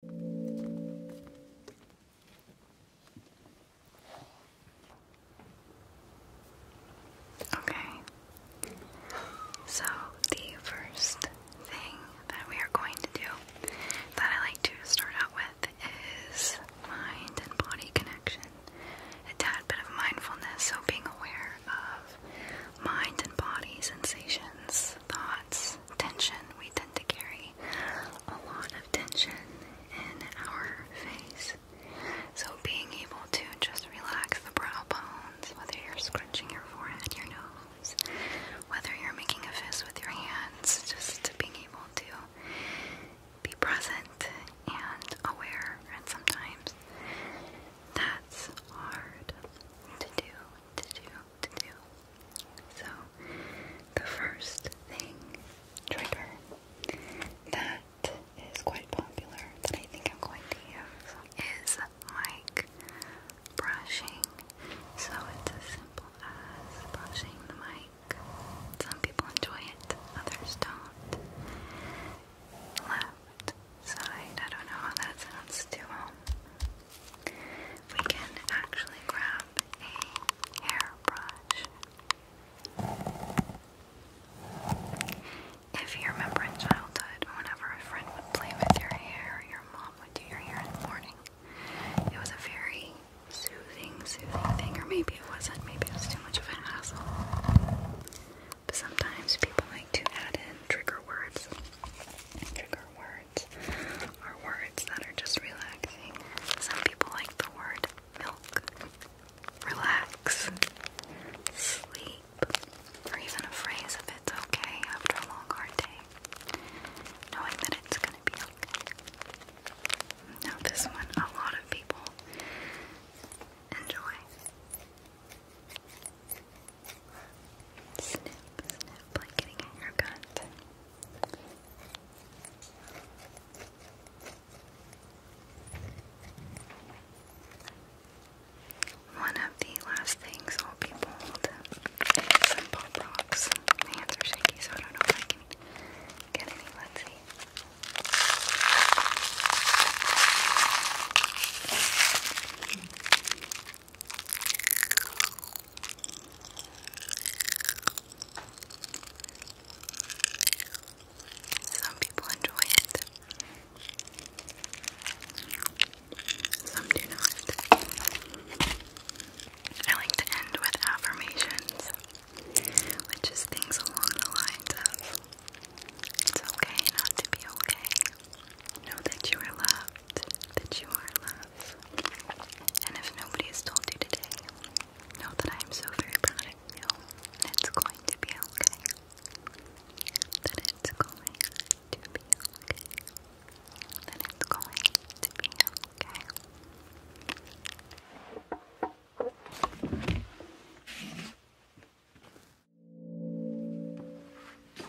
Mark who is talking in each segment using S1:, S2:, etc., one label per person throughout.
S1: Okay, so the first thing that we are going to do that I like to start out with is mind and body connection. A tad bit of mindfulness, so being aware of mind and body sensations, thoughts, tension. We to carry a lot of tension in our face. So, being able to just relax the brow bones, whether you're scrunching your forehead, your nose, whether you're making a fist with your hands, just being able to be present and aware, and sometimes that's hard to do, to do, to do. So, the first thing, trigger, that is quite popular that I think I'm going to use is mic brushing. So, it's as simple as brushing the mic. Some people enjoy it, others don't. Left side, I don't know how that sounds to them. Um, we can actually grab a hairbrush. If you remember in childhood, whenever a friend would play with your hair, your mom would do your hair in the morning. It was a very soothing, soothing thing, or maybe it wasn't, maybe it was too much of a hassle. But sometimes people like to add in trigger words. Trigger word are words that are just relaxing. Some people like the word milk, relax, sleep, or even a phrase If it's okay after a long hard day. Knowing that it's gonna be okay. Now this one a lot of people enjoy. One of the last things I'll be bold is some pop rocks. My hands are shaky, so I don't know if I can get any. Let's see. Some people enjoy it. Some do not. I like to end with affirmations, which is things along the lines of it's okay not to be okay. Know that you are loved, that you are loved. And if nobody has told you today, know that I am so very proud of you. It's going to be okay. That it's going to be okay. That it's going to be okay.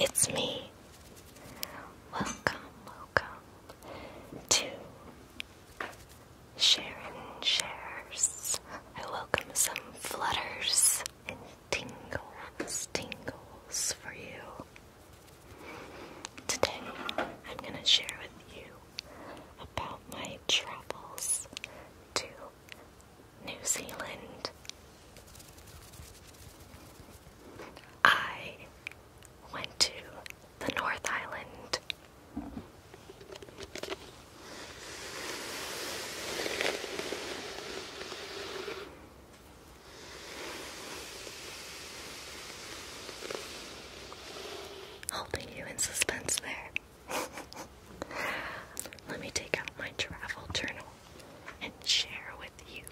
S1: It's me. Welcome, welcome to Sharon Shares. I welcome some flutters and tingles, tingles for you. Today, I'm going to share with you about my travels to New Zealand I went to the North Island. Holding you in suspense there. Let me take out my travel journal and share with you.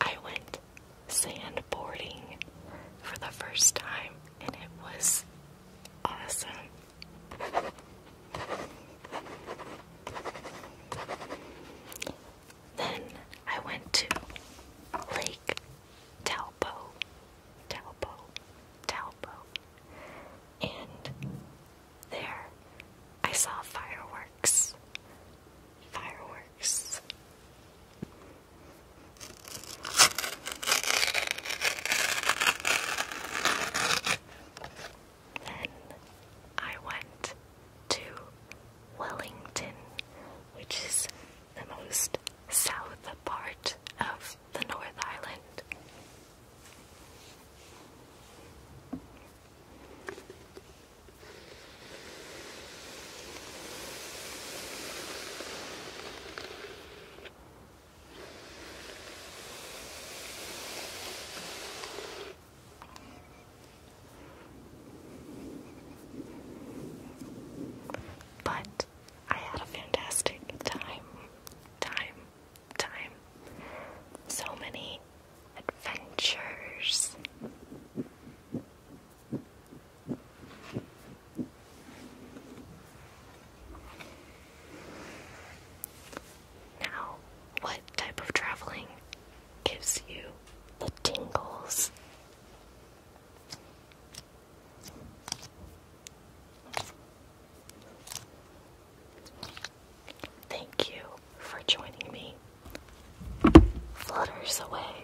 S1: I went sandboarding for the first time, and it was awesome. Then I went to Lake Talpo, Talpo, Talpo, and there I saw fireworks. Fireworks. Then I went to Wellington, which is the most south part of the North Island. But I had a fantastic time, time, time. So many adventures. Now, what type of traveling gives you the tingles. Thank you for joining me. Flutters away.